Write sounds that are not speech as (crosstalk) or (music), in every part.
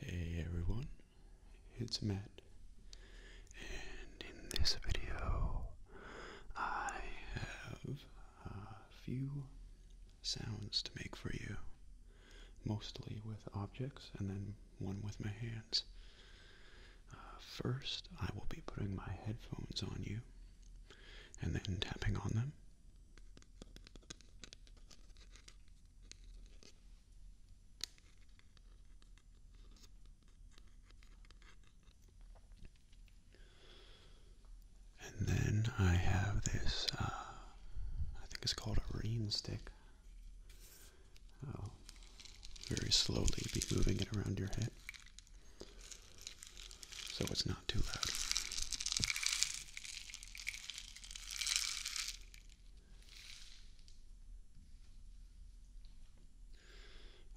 Hey everyone, it's Matt, and in this video I have a few sounds to make for you, mostly with objects and then one with my hands. Uh, first, I will be putting my headphones on you and then tapping on them. And then I have this, uh, I think it's called a ream stick. I'll oh, very slowly be moving it around your head so it's not too loud.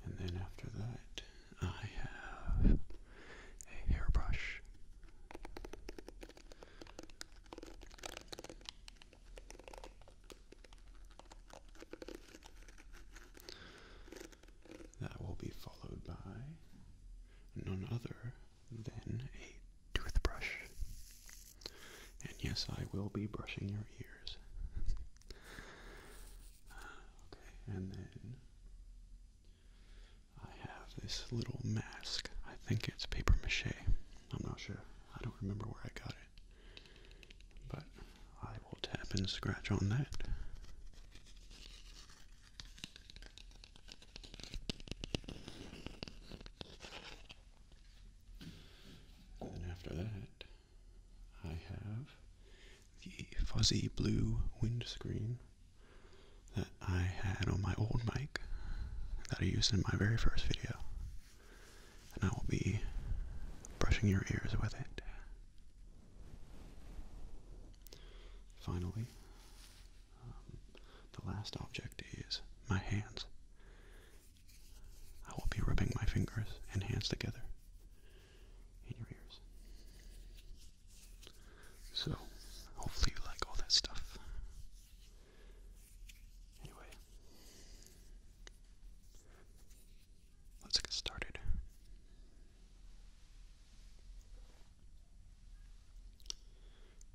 And then after that, I have a hairbrush. That will be followed by none other then a toothbrush. And yes, I will be brushing your ears. (laughs) okay, and then I have this little mask. I think it's paper mache. I'm not sure. I don't remember where I got it. But I will tap and scratch on that. And then after that, I have the fuzzy blue windscreen that I had on my old mic that I used in my very first video. And I will be brushing your ears with it. Finally, um, the last object is my hands. I will be rubbing my fingers and hands together in your ears. So, hopefully, you like all that stuff. Anyway, let's get started.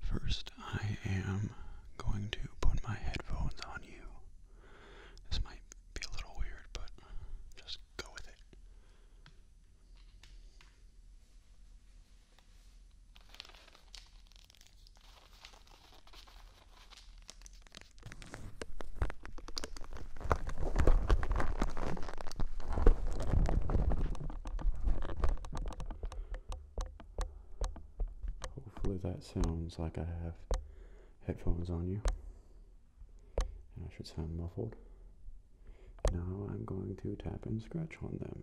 First, I am going to put my headphones on you. This might be a little weird, but just go with it. Hopefully that sounds like I have headphones on you. And I should sound muffled. Now I'm going to tap and scratch on them.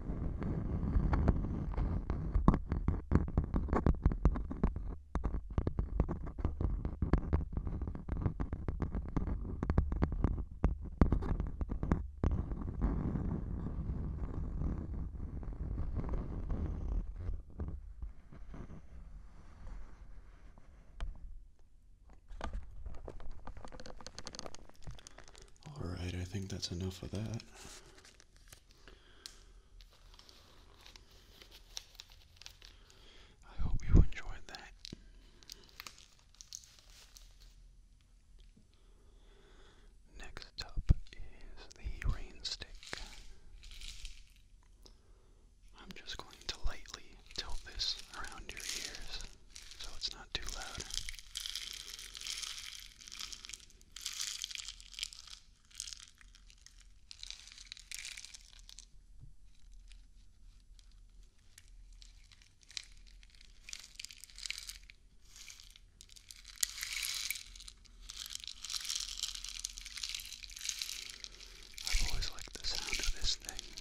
All right, I think that's enough of that. I hope you enjoyed that. Next up is the rain I'm just going to lightly tilt this around your ears so it's not too loud. I've always liked the sound of this thing.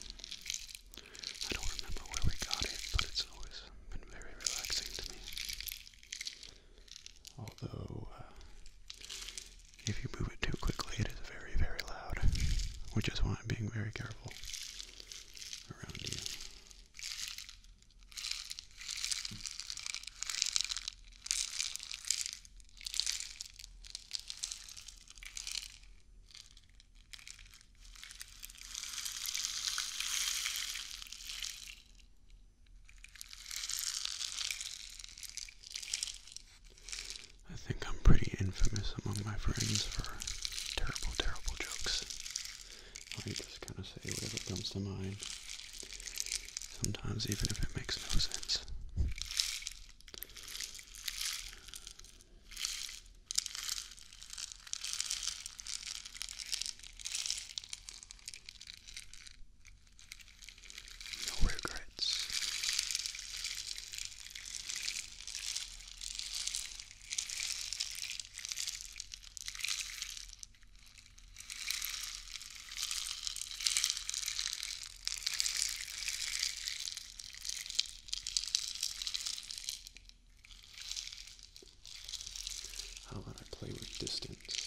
I don't remember where we got it, but it's always been very relaxing to me. Although, uh, if you move it too quickly, it is very, very loud, which is why I'm being very careful around you. I think I'm pretty infamous among my friends for terrible, terrible jokes. I just kind of say whatever comes to mind, sometimes even if it makes no sense. No regrets. How about I play with distance?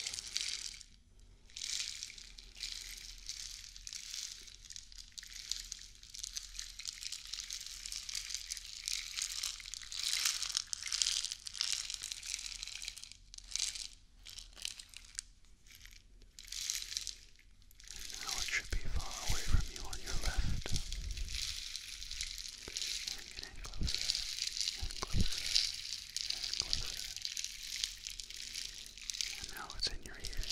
now it should be far away from you on your left bring it in closer and closer and closer. And now it's in your ear.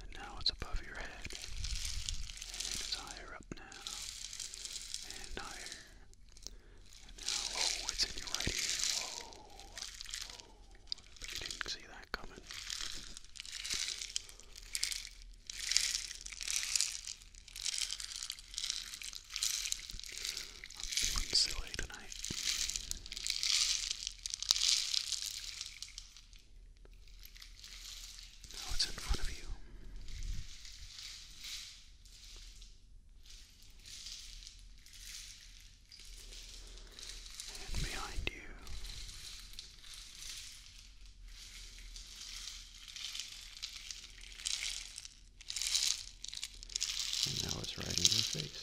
And now it's above your head. And it's higher up now. And higher. And now, oh, it's in your right ear. Whoa. Oh, but you didn't see that coming. I'm feeling silly tonight. Now it's in front of you and behind you. And now it's right in your face.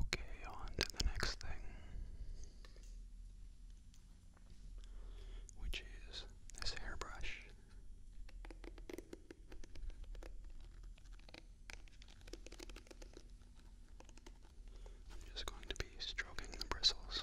Okay, on to the next thing, which is this hairbrush. I'm just going to be stroking the bristles.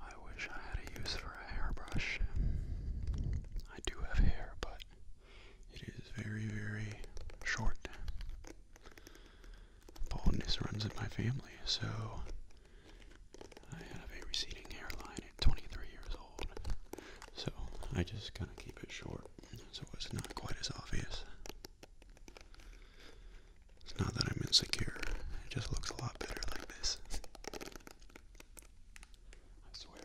I wish I had a use for a hairbrush. I do have hair, but it is very, very short baldness runs in my family, so I have a receding hairline at 23 years old. So I just kind of keep it short, so it's not quite as obvious. It's not that I'm insecure, it just looks a lot better like this. I swear.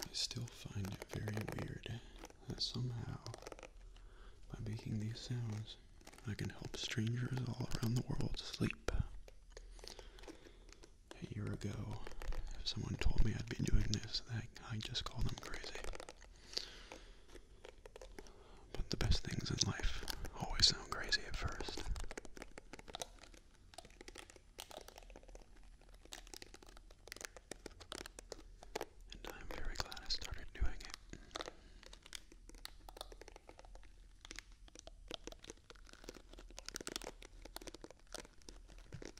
I still find it very weird that somehow, by making these sounds, I can help strangers all around the world sleep. A year ago, if someone told me I'd be doing this, I, just call them crazy. But the best things in life always sound crazy at first. And I'm very glad I started doing it.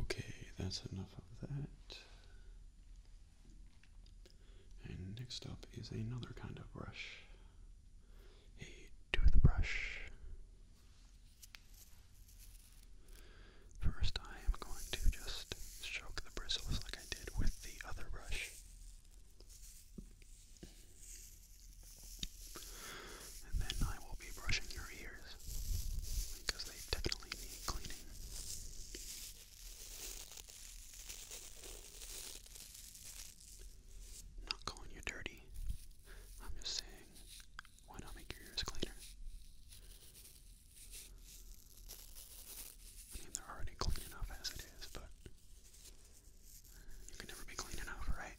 Okay, that's enough of that. And next up is another kind of brush a toothbrush. First, I am going to just stroke the bristles like I did with the other brush. And then I will be brushing your ears because they definitely need cleaning. am not calling you dirty. I'm just saying, why not make your ears cleaner? I mean, they're already clean enough as it is, but you can never be clean enough, right?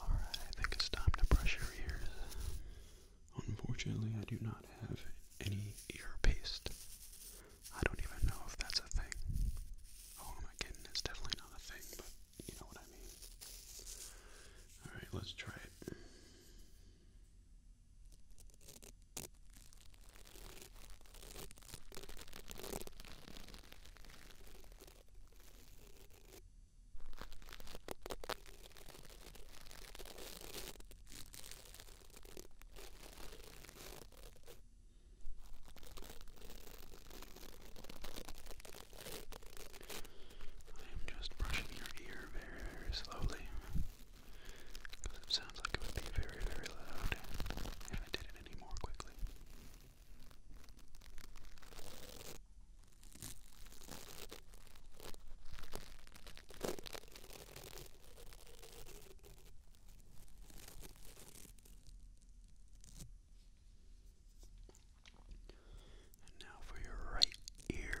Alright, I think it's time to brush your ears. Unfortunately, I do not have any ear paste. I don't even know if that's a thing. Oh, am I kidding? It's definitely not a thing, but you know what I mean. Alright, let's try it. I am just brushing your ear very, very slowly. Because it sounds like it would be very, very loud if I did it it any And now for your right ear.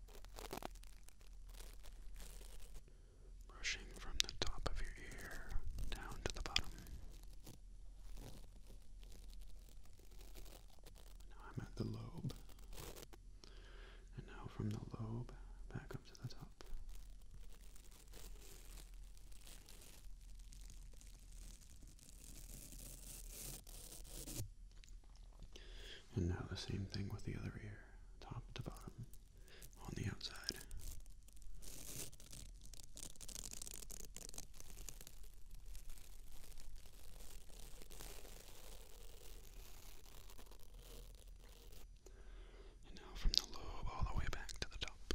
Brushing from the top of your ear down to the bottom. Now I'm at the lobe. And now from the lobe back up to the top. And now the same thing with the other ear, top to bottom, on the outside. And now from the lobe all the way back to the top.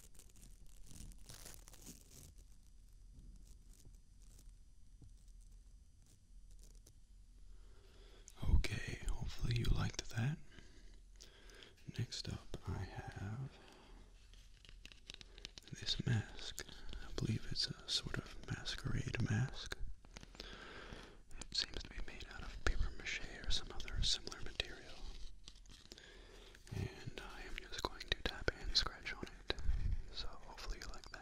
Okay, hopefully you liked that. Next up, I have this mask. I believe it's a sort of masquerade mask. It seems to be made out of paper mache or some other similar material. And I am just going to tap and scratch on it. So hopefully you like that.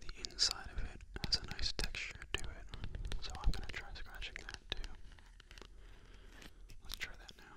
The inside of it has a nice texture to it, so I'm going to try scratching that too. Let's try that now.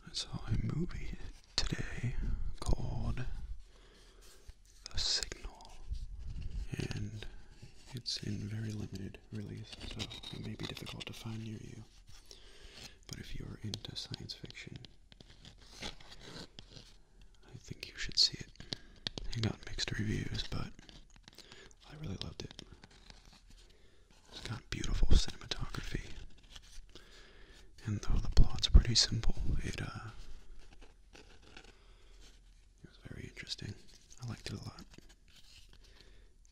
I saw a movie today called The Signal, and it's in very limited release, so it may be difficult to find near you. But if you're into science fiction, I think you should see it. It got mixed reviews, but I really loved it. It's got beautiful cinematography. And though the plot's pretty simple, it uh it was very interesting. I liked it a lot.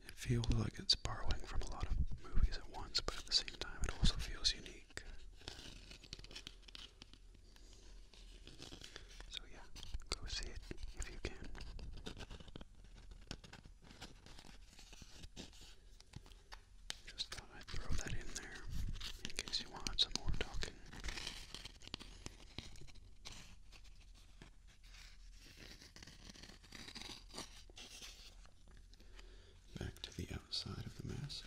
It feels like it's borrowing from a lot of movies at once, but at the same time it also feels unique. So yeah, go see it if you can. Just thought I'd throw that in there in case you want some more talking. Back to the outside of the mask.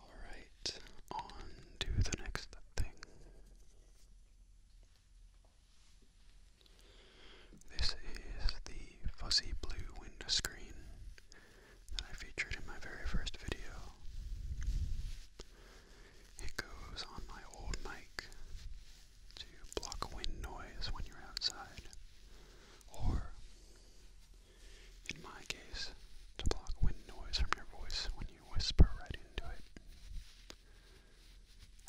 All right, on to the next thing. This is the fuzzy blue windscreen that I featured in my very first video. It goes on my old mic to block wind noise when you're outside, or in my case, to block wind noise from your voice when you whisper right into it.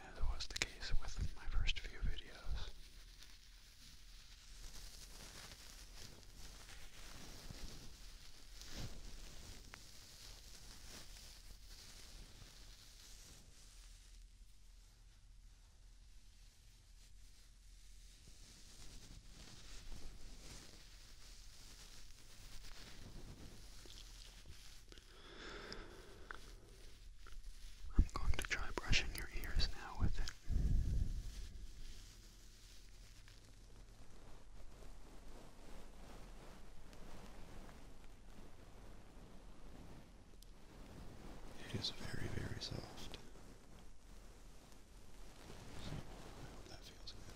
As was the case with my first few videos. I'm going to try brushing your ears now with it. It is very, very soft. So, I hope that feels good.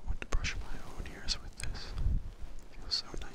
I want to brush my own ears with this. feels so nice.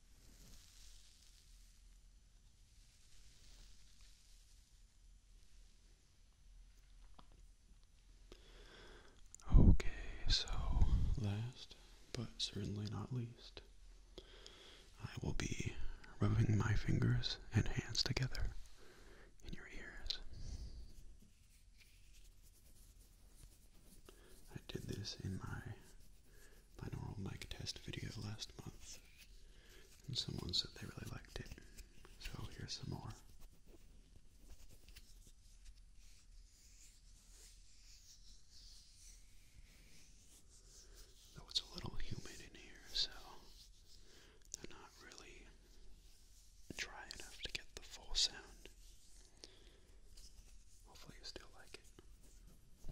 Okay, so last but certainly not least, I will be rubbing my fingers and hands together in your ears. I did this in my binaural mic test video last month, and someone said they really liked it. So here's some more. Though it's a little humid in here, so they're not really dry enough to get the full sound. Hopefully, you still like it.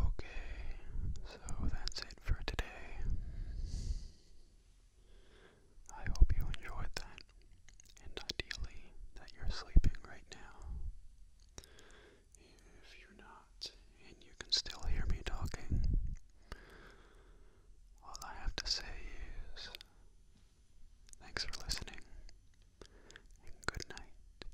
Okay, so that's it for today. I hope you enjoyed that, and ideally that you're sleeping right now. If you're not, and you can still hear me talking, all I have to say is thanks for listening, and good night.